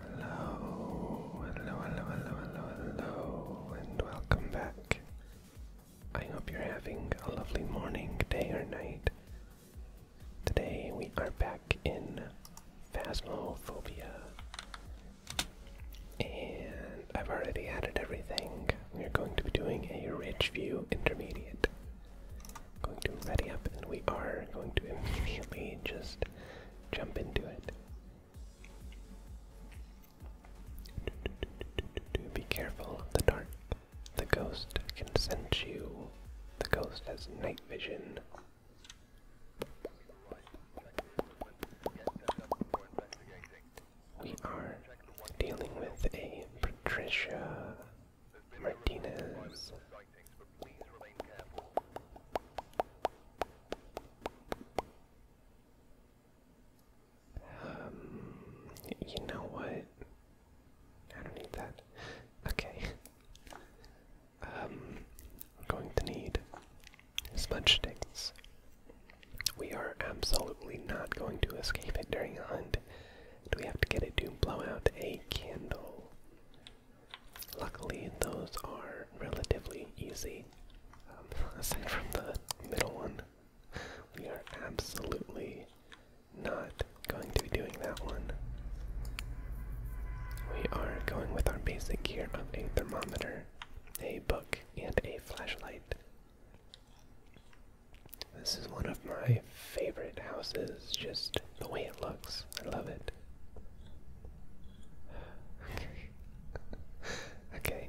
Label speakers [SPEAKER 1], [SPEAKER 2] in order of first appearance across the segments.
[SPEAKER 1] Hello, hello, hello, hello, hello, and welcome back. I hope you're having a lovely morning, day, or night. Today we are back in Phasmophobia. And I've already added everything. We're going to be doing a rich view intermediate. Going to ready up, and we are going to immediately just jump into it. Be careful of the dark. The ghost can sense you. The ghost has night vision. We are dealing with a Patricia Martinez. Um, you know what? I don't need that. Okay. Um, going to need smudge sticks. We are absolutely not going to escape it during a hunt. Do we have to get it to blow out a candle? Luckily, those are relatively easy. Um, aside from the middle one, we are absolutely not going to be doing that one. We are going with our basic gear of a thermometer, a book, and a flashlight. This is one of my favorite houses, just the way it looks. I love it. okay.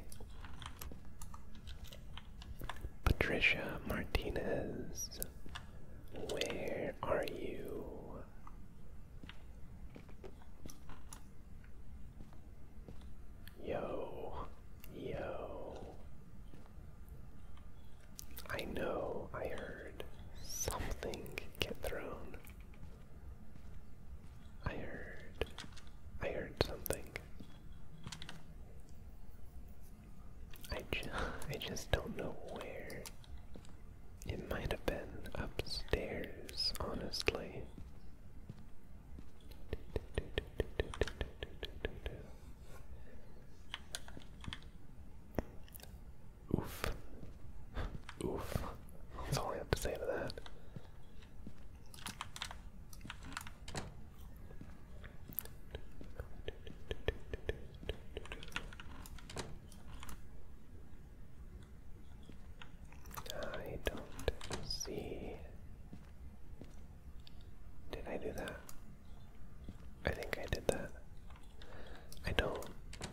[SPEAKER 1] Patricia Martinez, where are you? Yo, yo. I know I heard something get thrown. I heard. I heard something. I, ju I just don't know where. It might have been upstairs, honestly. Oof. Oof. That's all I have to say to that. I don't see did I do that? I think I did that. I don't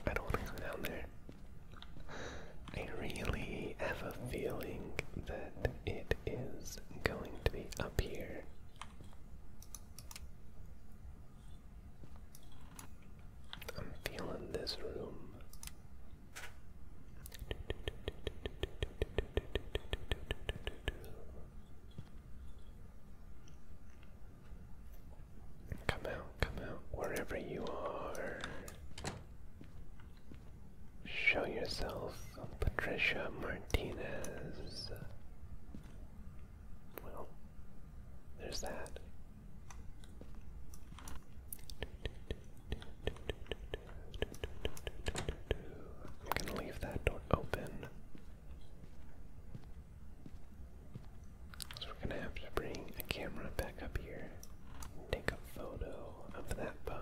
[SPEAKER 1] I don't wanna go down there. I really have a feeling that it is going to be up here. I'm feeling this room. Come out, come out, wherever you are. Show yourself, Patricia Martinez. Well, there's that. I'm gonna leave that door open. So we're gonna have to bring a camera back up here take a photo of that bone.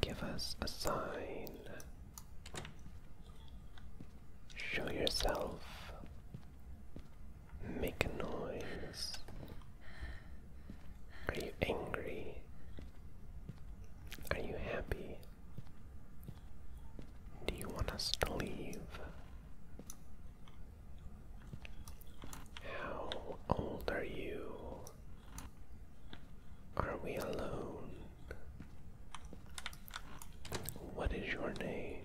[SPEAKER 1] Give us a sign. Show yourself. Make a noise. Are you angry? Are you happy? Do you want us to leave? How old are you? Are we alone? What is your name?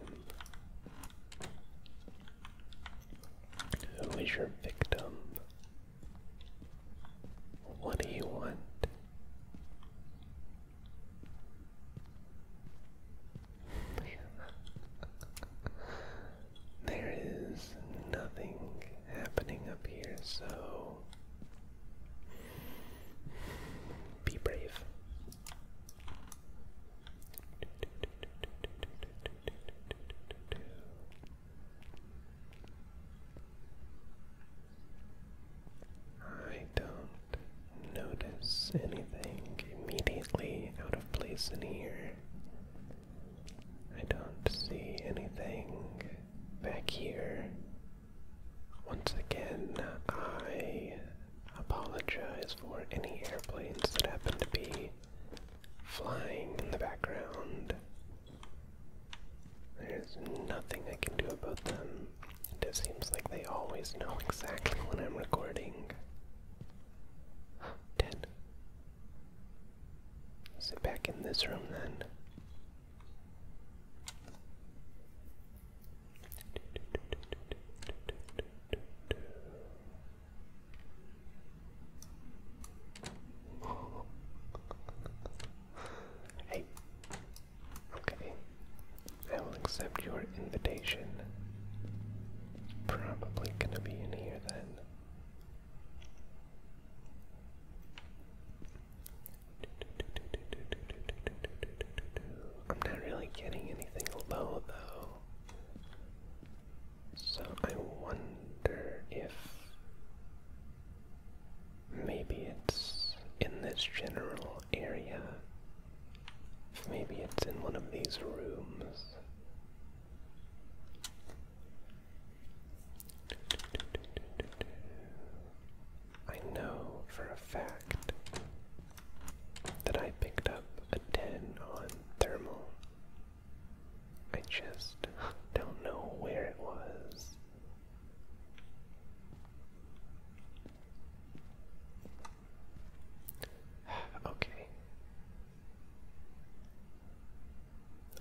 [SPEAKER 1] Who is your victim? What do you want? there is nothing happening up here, so be brave. I don't notice anything immediately out of place in here. I don't see anything back here. Once again, I apologize for any airplanes that happen to be flying in the background. There's nothing I can do about them. It just seems like they always know exactly when I'm recording. Dead. Sit back in this room then. Hey, okay, I will accept your invitation. probably gonna be in here then. I'm not really getting anything low though. So I wonder if maybe it's in this general area. If maybe it's in one of these rooms. I know for a fact that I picked up a 10 on thermal. I just don't know where it was. Okay.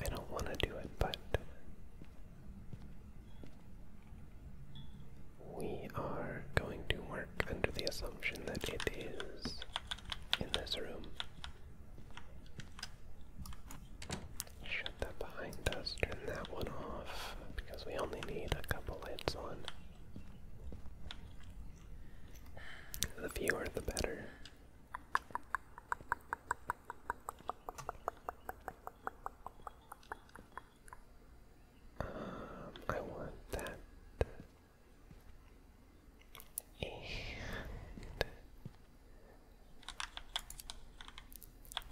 [SPEAKER 1] I don't want to do it, but we are going to work under the assumption that it is in this room. Shut that behind us, turn that one off, because we only need a couple lights on. The fewer the better. Um, I want that. And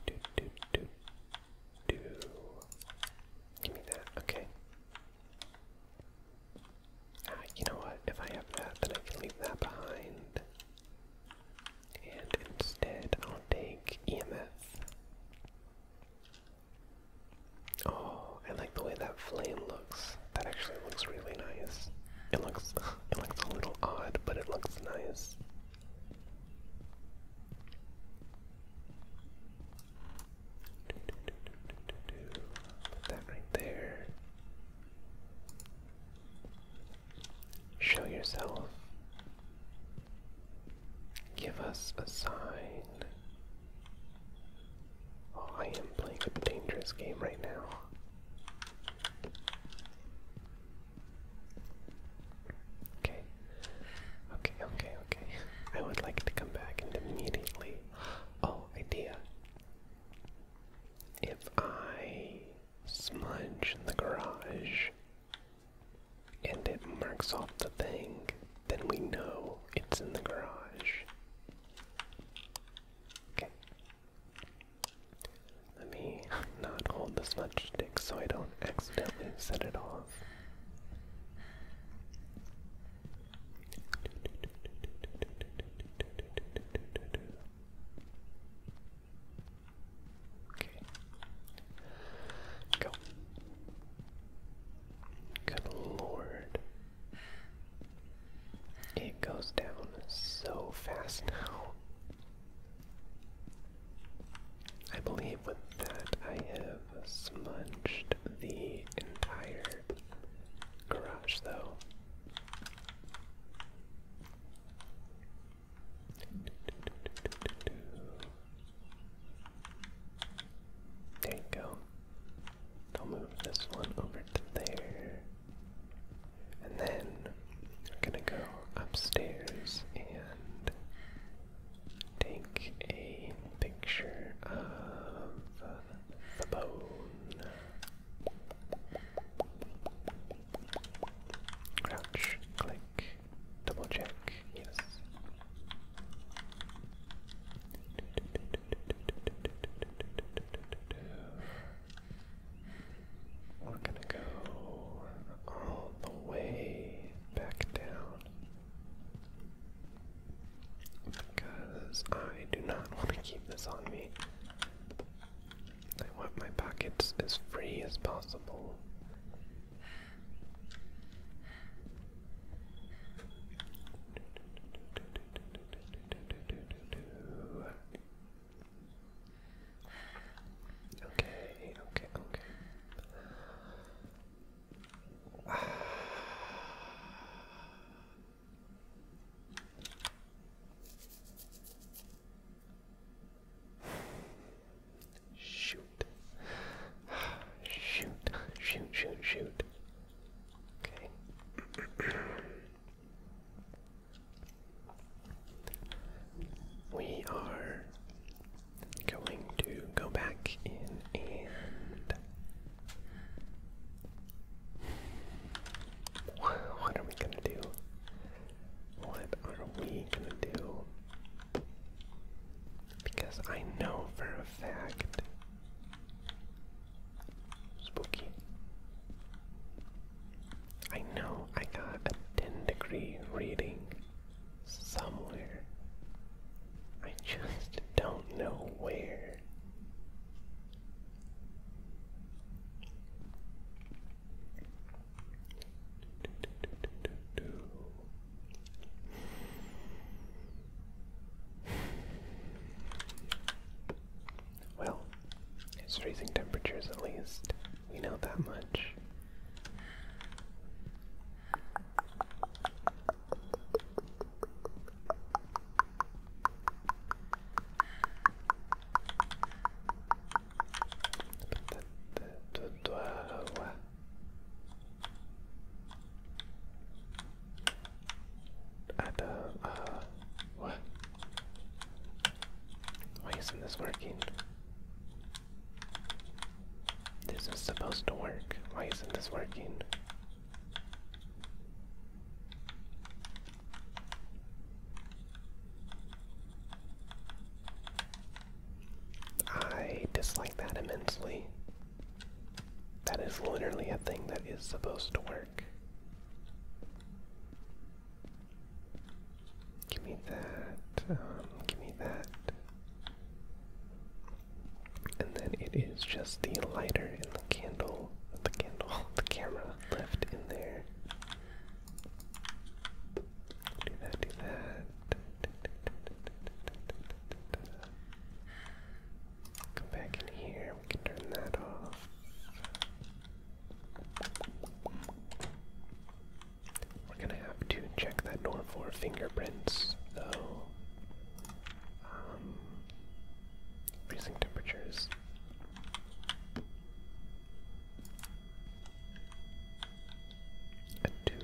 [SPEAKER 1] do do do do. Give me that. Okay. Uh, you know what? If I have that, then I can leave that behind. And instead, I'll take EMF. Oh, I like the way that flame looks. That actually looks really nice. It looks, it looks a little odd, but it looks nice. Put that right there. Show yourself. Give us a sign. Oh, I am playing a dangerous game right now. Okay. Okay, okay, okay. I would like to come back and immediately. Oh, idea if I smudge in the garage and it marks off the thing, then we know it's in the garage. Okay. Let me not hold the smudge stick so I don't accidentally set it off. Okay. Go. Good lord. It goes down so fast now. I believe with that I have smudged the entire garage, though. There you go. I'll move this one over to there. And then we're gonna go upstairs and take a picture of the bone. Crouch, click, double check, yes. We're gonna go all the way back down. Because I do not want to keep this on me. I want my pockets as free as possible. Okay, okay, okay. Shoot. Shoot, shoot, shoot, shoot. Okay. we are going to go back in and what are we gonna do? What are we gonna do? Because I know for a fact. Spooky. I know I got a 10 degree reading somewhere. I just don't know where. Well, it's freezing temperatures at least. We know that much what? Why isn't this working? This is supposed to work. Why isn't this working? I dislike that immensely. That is literally a thing that is supposed to work. Give me that. Um, give me that. And then it is just the lighter and the candle, the candle, the camera left in there. Do that, do that. Come back in here, we can turn that off. We're gonna have to check that door for fingerprints, though um, freezing temperatures. A two.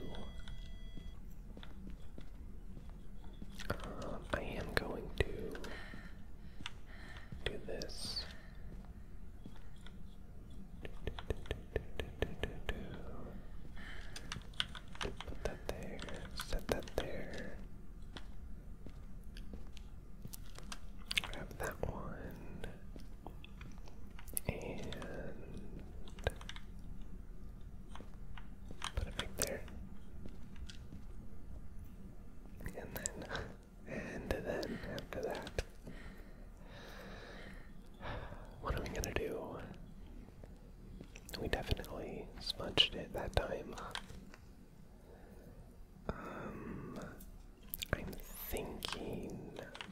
[SPEAKER 1] Um, I am going to do this. Put that there. Set that there. Grab that one. And put it back there. And then, and then after that, what are we gonna do? We definitely smudged it that time. Um, I'm thinking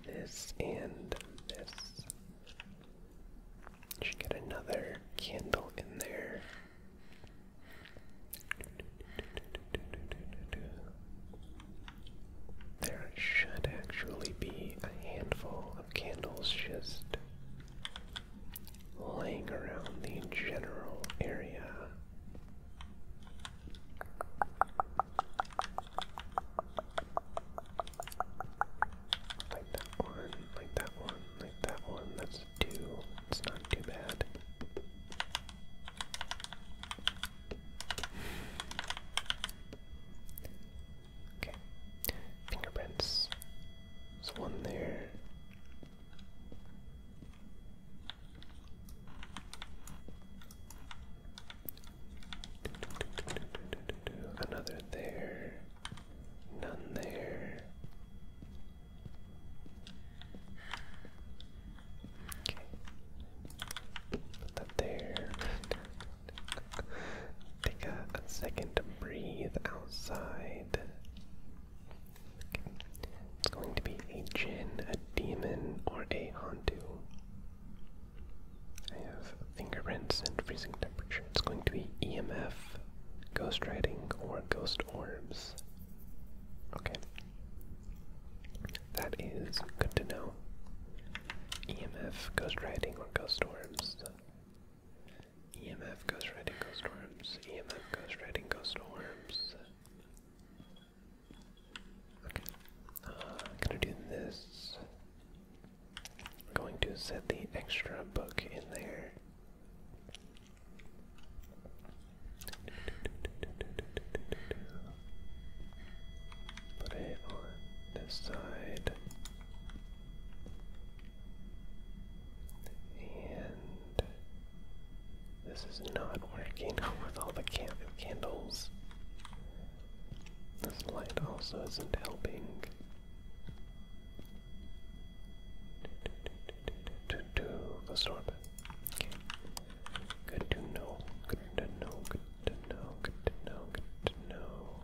[SPEAKER 1] this and this. Should get another candle in there. There should actually be a handful candles just laying around the general area. Like that one, like that one, like that one. That's two. It's not too bad. Okay. Fingerprints. There's one there. Another there. None there. Okay. Put that there. Take a, second to breathe outside. It's going to be a djinn, a demon, or a hantu. I have fingerprints and freezing temperature. It's going to be EMF, ghost riding, or ghost orbs. Okay. That is good to know. EMF, ghost riding, or ghost orbs. EMF goes ghost riding goes storms. EMF ghost riding ghost storms. Okay. I'm uh, gonna do this. I'm going to set the extra book in there. Put it on this side. And this is not working with all the candles. This light also isn't helping. To do the storm. Good to know. Good to know to know, good to know, good to know.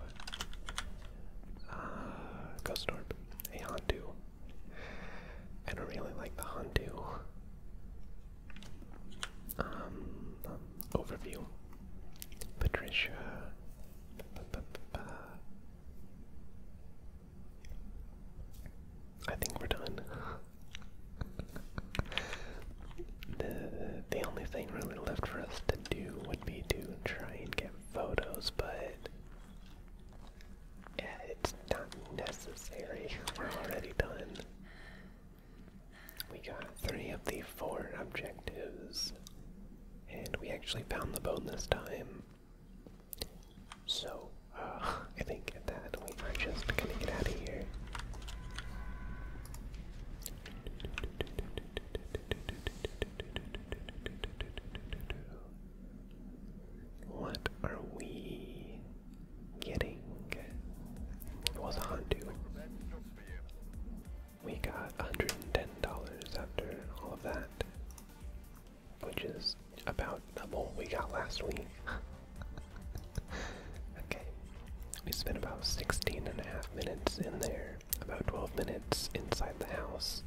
[SPEAKER 1] Ah, uh, Ghost Orb, I don't really like the Hantu. Um, overview. Patricia. I think we're done. the only thing really left for us to do would be to try and get photos, but yeah, it's not necessary. We're already done. We got three of the four objectives, and we actually found the bone this time. So, uh, I think that we are just gonna get out of here. What are we getting? It was a We got $110 after all of that, which is about double we got last week okay, we spent about 16 and a half minutes in there, about 12 minutes inside the house.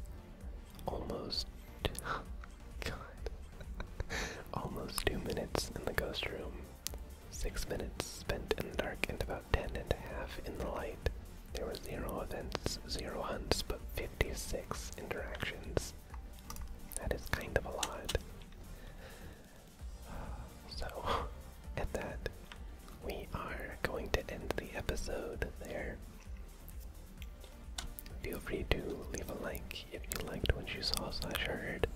[SPEAKER 1] Almost. God. Almost two minutes in the ghost room. Six minutes spent in the dark and about ten and a half in the light. There were zero events, zero hunts, but 56 interactions. That is kind of a lot. So, at that, we are going to end the episode there. Feel free to leave a like if you liked what you saw slash heard,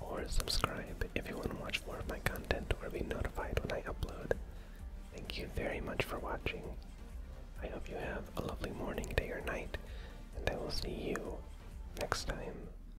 [SPEAKER 1] or subscribe if you want to watch more of my content or be notified when I upload. Thank you very much for watching. I hope you have a lovely morning, day, or night, and I will see you next time